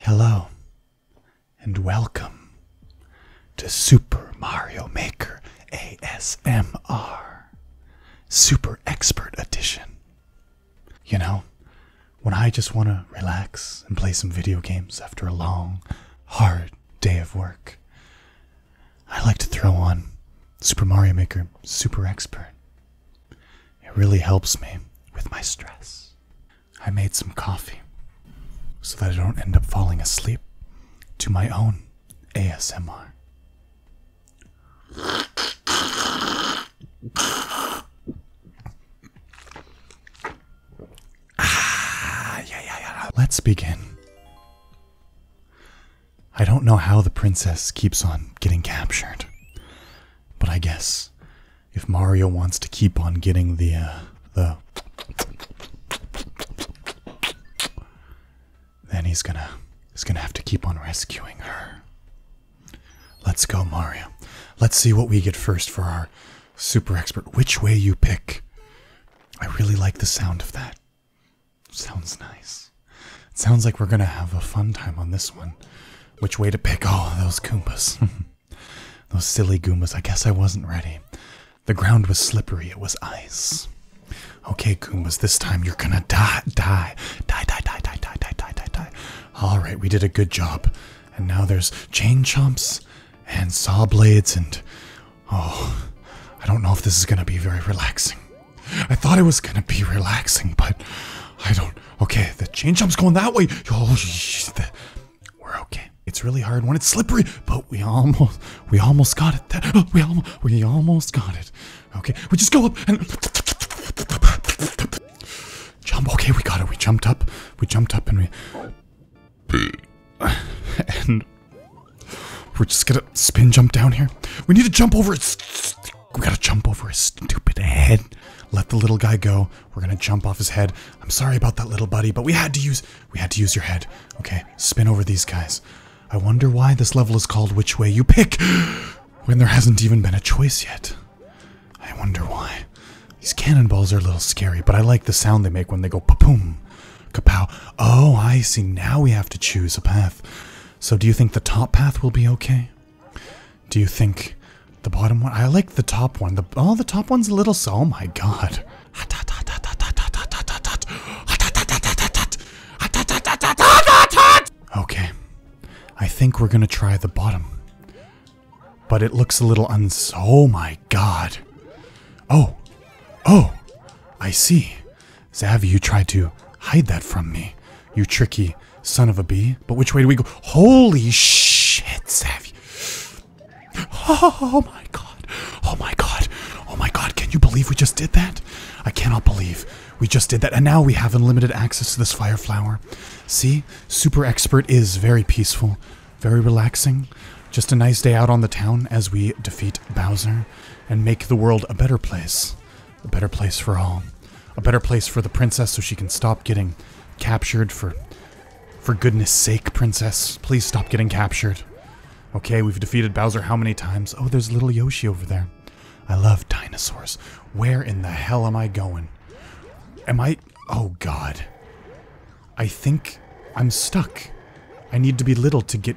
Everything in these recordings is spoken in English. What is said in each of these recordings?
Hello and welcome to Super Mario Maker ASMR Super Expert Edition. You know, when I just want to relax and play some video games after a long, hard day of work, I like to throw on Super Mario Maker Super Expert. It really helps me with my stress. I made some coffee so that I don't end up falling asleep to my own ASMR. Ah, yeah, yeah, yeah. Let's begin. I don't know how the princess keeps on getting captured. But I guess if Mario wants to keep on getting the uh, the then he's gonna he's gonna have to keep on rescuing her. Let's go, Mario. Let's see what we get first for our super expert. Which way you pick? I really like the sound of that. Sounds nice. It sounds like we're gonna have a fun time on this one. Which way to pick? Oh, those Goombas. those silly Goombas. I guess I wasn't ready. The ground was slippery, it was ice. Okay, Goombas, this time you're gonna die, die, die, die, die, die, die, die, die, die, die. Alright, we did a good job. And now there's chain chomps and saw blades and. Oh, I don't know if this is gonna be very relaxing. I thought it was gonna be relaxing, but I don't. Okay, the chain jump's going that way. Oh, the, we're okay. It's really hard when it's slippery, but we almost, we almost got it. Oh, we almost, we almost got it. Okay, we just go up and jump. Okay, we got it. We jumped up. We jumped up and we and we're just gonna spin jump down here. We need to jump over his. We gotta jump over his stupid head. Let the little guy go. We're gonna jump off his head. I'm sorry about that little buddy, but we had to use we had to use your head. Okay, spin over these guys. I wonder why this level is called Which Way You Pick when there hasn't even been a choice yet. I wonder why. These cannonballs are a little scary, but I like the sound they make when they go pa-poom, kapow. Oh, I see. Now we have to choose a path. So do you think the top path will be okay? Do you think the bottom one? I like the top one. The, oh, the top one's a little... So, oh my god. Okay. I think we're gonna try the bottom. But it looks a little uns- Oh my god. Oh. Oh. I see. Zavi, you tried to hide that from me. You tricky son of a bee. But which way do we go? Holy shit, Zavi. Oh my god. Oh my god. Oh my god. Can you believe we just did that? I cannot believe we just did that. And now we have unlimited access to this fire flower. See? Super Expert is very peaceful, very relaxing. Just a nice day out on the town as we defeat Bowser and make the world a better place a better place for all, a better place for the princess so she can stop getting captured for for goodness sake, princess. Please stop getting captured. Okay, we've defeated Bowser how many times? Oh, there's little Yoshi over there. I love dinosaurs. Where in the hell am I going? Am I... Oh, God. I think I'm stuck. I need to be little to get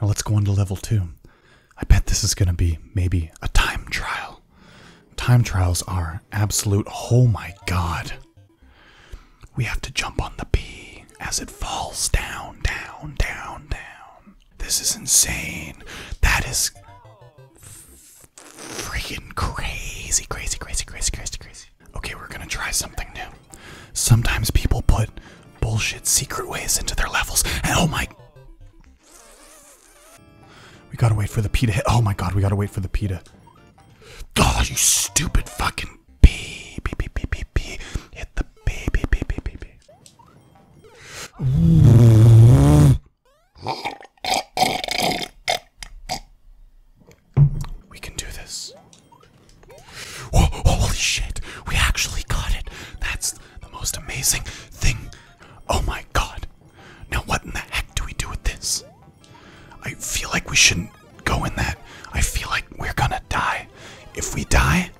Now let's go on to level two. I bet this is going to be maybe a time trial. Time trials are absolute. Oh my god. We have to jump on the B as it falls down, down, down, down. This is insane. That is freaking crazy, crazy, crazy, crazy, crazy, crazy. Okay, we're gonna try something new. Sometimes people put bullshit secret ways into their levels, and oh my. We gotta wait for the pita hit. Oh my god, we gotta wait for the pita. Oh, you stupid fucking pee. Pee, pee, pee, pee, pee. Hit the pee, pee, pee, pee, pee, pee. We can do this. Whoa, holy shit, we actually got it. That's the most amazing thing. Oh my god. Now, what in the heck do we do with this? I feel like we shouldn't go in that. I feel like we're gonna die. If we die,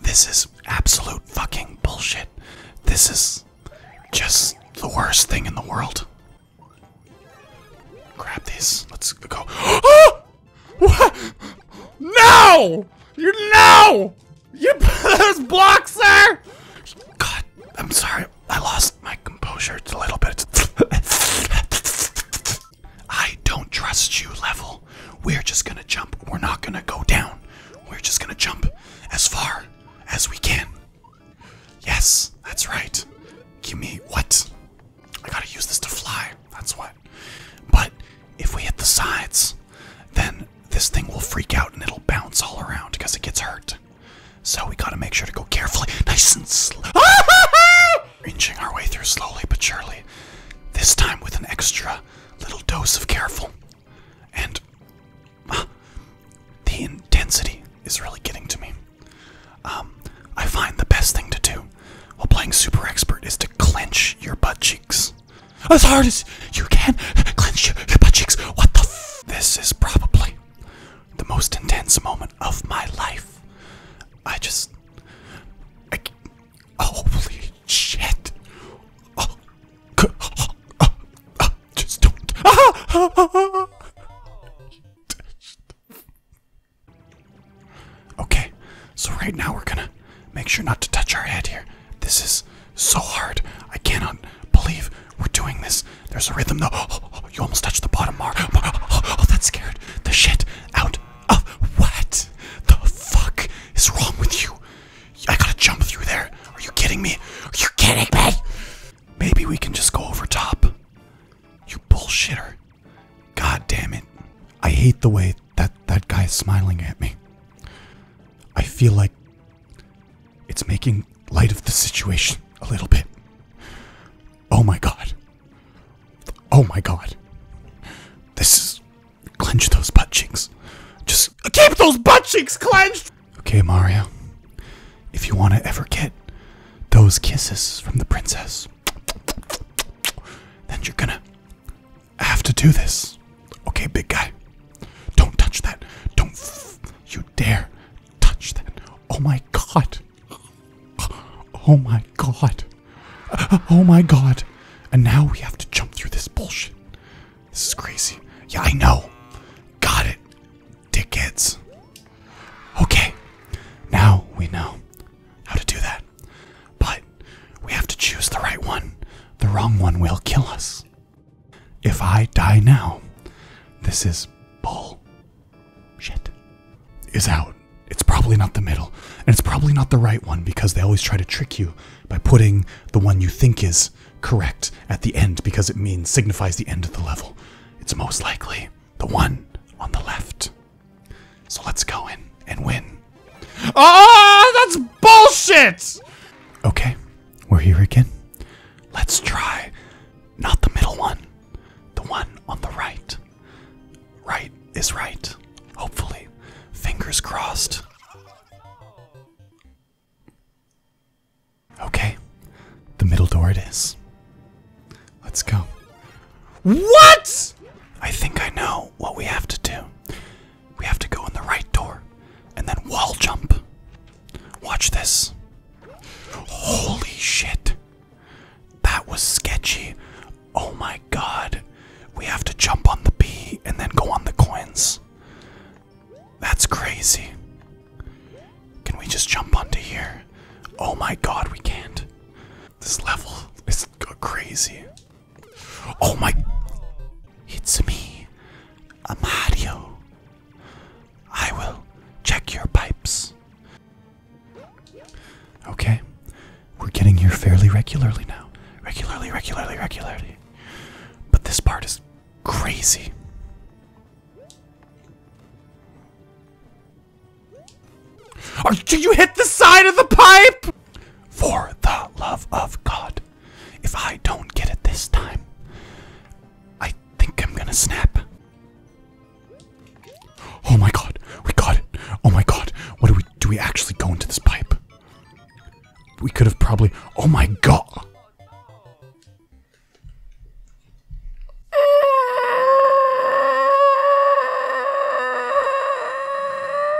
this is absolute fucking bullshit. This is just the worst thing in the world. Grab this. Let's go. Ah! What? No! You no! You put those blocks sir! God, I'm sorry. I lost my composure a little bit. I don't trust you, level. We're just gonna jump. We're not gonna go down. We're just gonna jump as far as we can. Yes, that's right. Give me what? I gotta use this to fly, that's what. But if we hit the sides, then this thing will freak out and it'll bounce all around because it gets hurt. So we gotta make sure to go carefully, nice and slow. Inching our way through slowly but surely. This time with an extra little dose of careful. And uh, the intensity is really getting to me. Um, I find the best thing to do while playing Super Expert is to clench your butt cheeks. As hard as you can, clench your, your butt cheeks. What the f? This is probably the most intense moment of my life. I just. I, oh, holy shit. Oh, oh, oh just don't. Okay, so right now we're gonna make sure not to touch our head here. This is so hard. I cannot believe we're doing this. There's a rhythm though. Oh, you almost touched the bottom bar. Oh, oh, that scared the shit out of what? The fuck is wrong with you? I gotta jump through there. Are you kidding me? Are you kidding me? Maybe we can just go over top. You bullshitter. God damn it. I hate the way that that guy is smiling at me. I feel like it's making light of the situation a little bit. Oh my god. Oh my god. This is. Clench those butt cheeks. Just keep those butt cheeks clenched! Okay, Mario. If you want to ever get those kisses from the princess, then you're gonna I have to do this. Okay, big guy. Don't touch that. Don't you dare touch that. Oh my god. Oh my god. Oh my god. And now we have to jump through this bullshit. This is crazy. Yeah, I know. Got it. Dickheads. Okay. Now we know how to do that. But we have to choose the right one. The wrong one will kill us. If I die now, this is bull. Shit. Is out. It's probably not the middle. And it's probably not the right one because they always try to trick you by putting the one you think is correct at the end because it means signifies the end of the level. It's most likely the one on the left. So let's go in and win. Oh, that's bullshit! Okay, we're here again. Let's try not the middle one, the one on the right. Right is right, hopefully. Fingers crossed. Okay, the middle door it is. Let's go. What? I think I know what we have to do. We have to go in the right door and then wall jump. Watch this. Holy shit. That was sketchy. Oh my god. We have to jump on the B and then go on the coins. That's crazy. Can we just jump onto here? Oh my god, we can't. This level is crazy. Oh my. It's me, a Mario. I will check your pipes. Okay, we're getting here fairly regularly now. Regularly, regularly, regularly. But this part is crazy. Or did you hit the side of the pipe? For the love of God, if I don't get it this time, I think I'm gonna snap. Oh my God, we got it. Oh my God, what do we, do we actually go into this pipe? We could have probably, oh my God.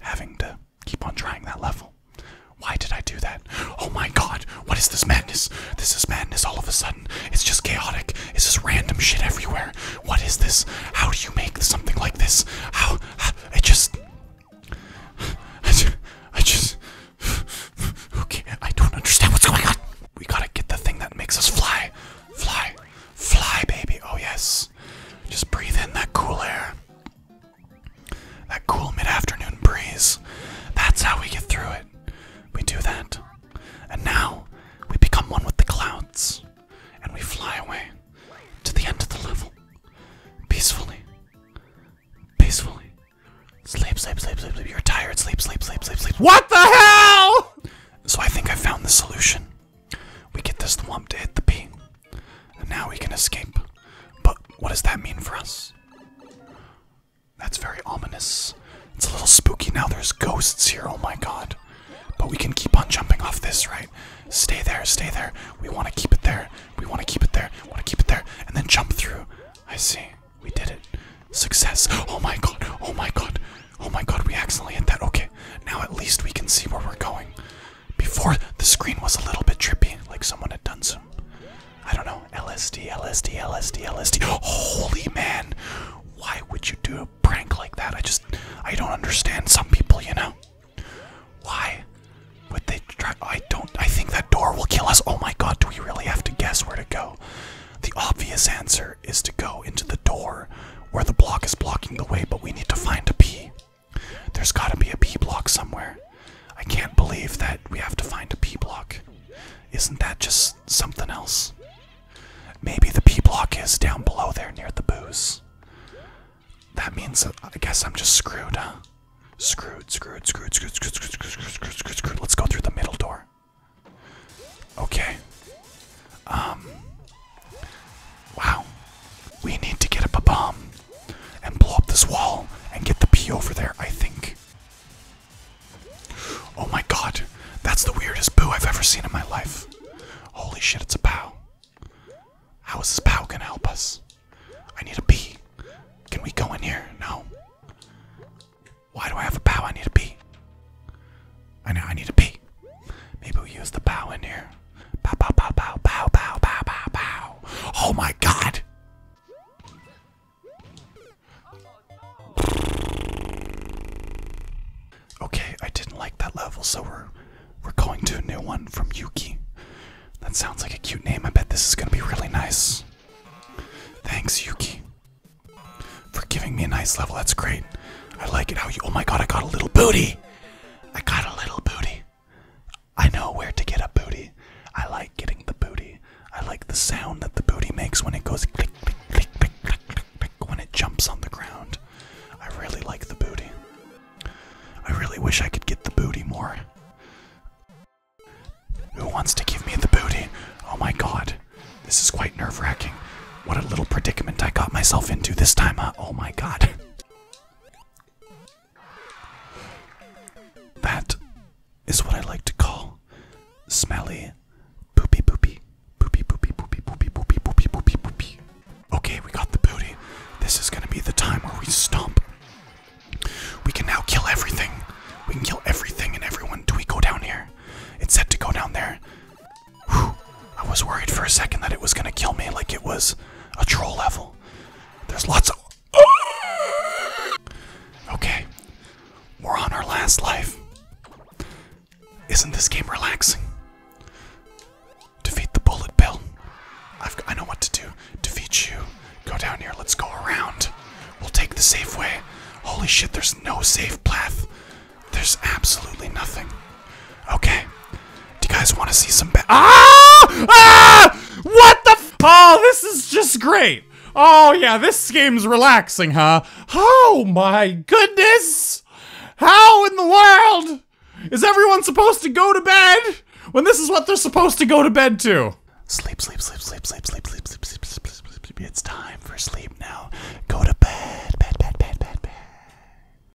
having to keep on trying that level. Why did I do that? Oh my god, what is this madness? This is madness all of a sudden. It's just chaotic. It's just random shit everywhere. What is this? How do you make something like this? How? it I just. I just okay, I don't understand what's going on. We gotta get the thing that makes us fly. Fly. Fly, baby. Oh, yes just breathe in that cool air. That cool mid afternoon breeze. That's how we get through it. We do that. And now we become one with the clouds. And we fly away to the end of the level. Peacefully. Peacefully. sleep, sleep, sleep, sleep. You're tired. Sleep, sleep, sleep, sleep, sleep. What the hell? So I think I found the solution. We get this thwomp to hit the P, and now we can escape. But what does that mean for us? That's very ominous. It's a little spooky now. There's ghosts here. Oh my god. But we can keep on jumping off this, right? Stay there, stay there. We want to keep it there. We want to keep it there. Want to keep it there. And then jump through. I see. We did it. Success. Oh my god. Oh my god. Oh my god. We accidentally hit that. Okay. Now at least we can see where we're going. Before, the screen was a little bit trippy, like someone had done some, I don't know, LSD, LSD, LSD, LSD. Holy man! Why would you do a prank like that? I just, I don't understand some people, you know? Why would they try? I don't, I think that door will kill us. Oh my god, do we really have to guess where to go? The obvious answer is to go into the door where the block is blocking the way, but we need to find a P. There's gotta be a P block somewhere. I can't believe that we have to find a P block. Isn't that just something else? Maybe the P block is down below there near the booze. That means I guess I'm just screwed, huh? Screwed, screwed, screwed, screwed, screwed, screwed, screwed, screwed, screwed, screwed, screwed. Let's go through the middle door. Okay. Um Wow. We need to get up a bomb and blow up this wall and get the P over there, I think. Oh my god. That's the weirdest boo I've ever seen in my life. Holy shit, it's a bow. How is this bow gonna help us? I need a P. Can we go in here? No. Why do I have a bow? I need a P. I know I need a P. Maybe. Maybe we use the bow in here. Bow, bow, bow, bow, bow, bow, bow, bow, bow. Oh my god! Okay, I didn't like that level, so we're we're going to a new one from Yuki. That sounds like a cute name. I bet this is gonna be really nice. Thanks, Yuki, for giving me a nice level. That's great. I like it how you. Oh my god, I got a little booty. I got a little booty. I know where to get a booty. I like getting the booty. I like the sound that the booty makes when it goes click, click, click, click, click, click, when it jumps on the ground. I really like the booty. I really wish I could get the booty more. Who wants to give me the booty? Oh my god. This is quite nerve wracking. What a little predicament I got myself into this time, Oh my god. That is what I like to call smelly poopy poopy. Poopy poopy poopy poopy poopy poopy poopy poopy. Okay, we got the booty. This is gonna be the time where we stomp. We can now kill everything. We can kill everything and everyone. Do we go down here? It's set to go down there. I was worried for a second that it was gonna kill me like it was a troll level. There's lots of. Okay, we're on our last life. Isn't this game relaxing? Defeat the bullet bill. I know what to do. Defeat you. Go down here. Let's go around. We'll take the safe way. Holy shit, there's no safe path. There's absolutely nothing. Okay. Do you guys want to see some? ah! Ah! What the? oh, this is just great. Oh yeah, this game's relaxing, huh? Oh my goodness! How in the world is everyone supposed to go to bed when this is what they're supposed to go to bed to? Sleep, sleep, sleep, sleep, sleep, sleep, sleep, sleep, sleep, sleep, sleep, sleep. It's time for sleep now. Go to bed, bed, bed, bed, bed, bed.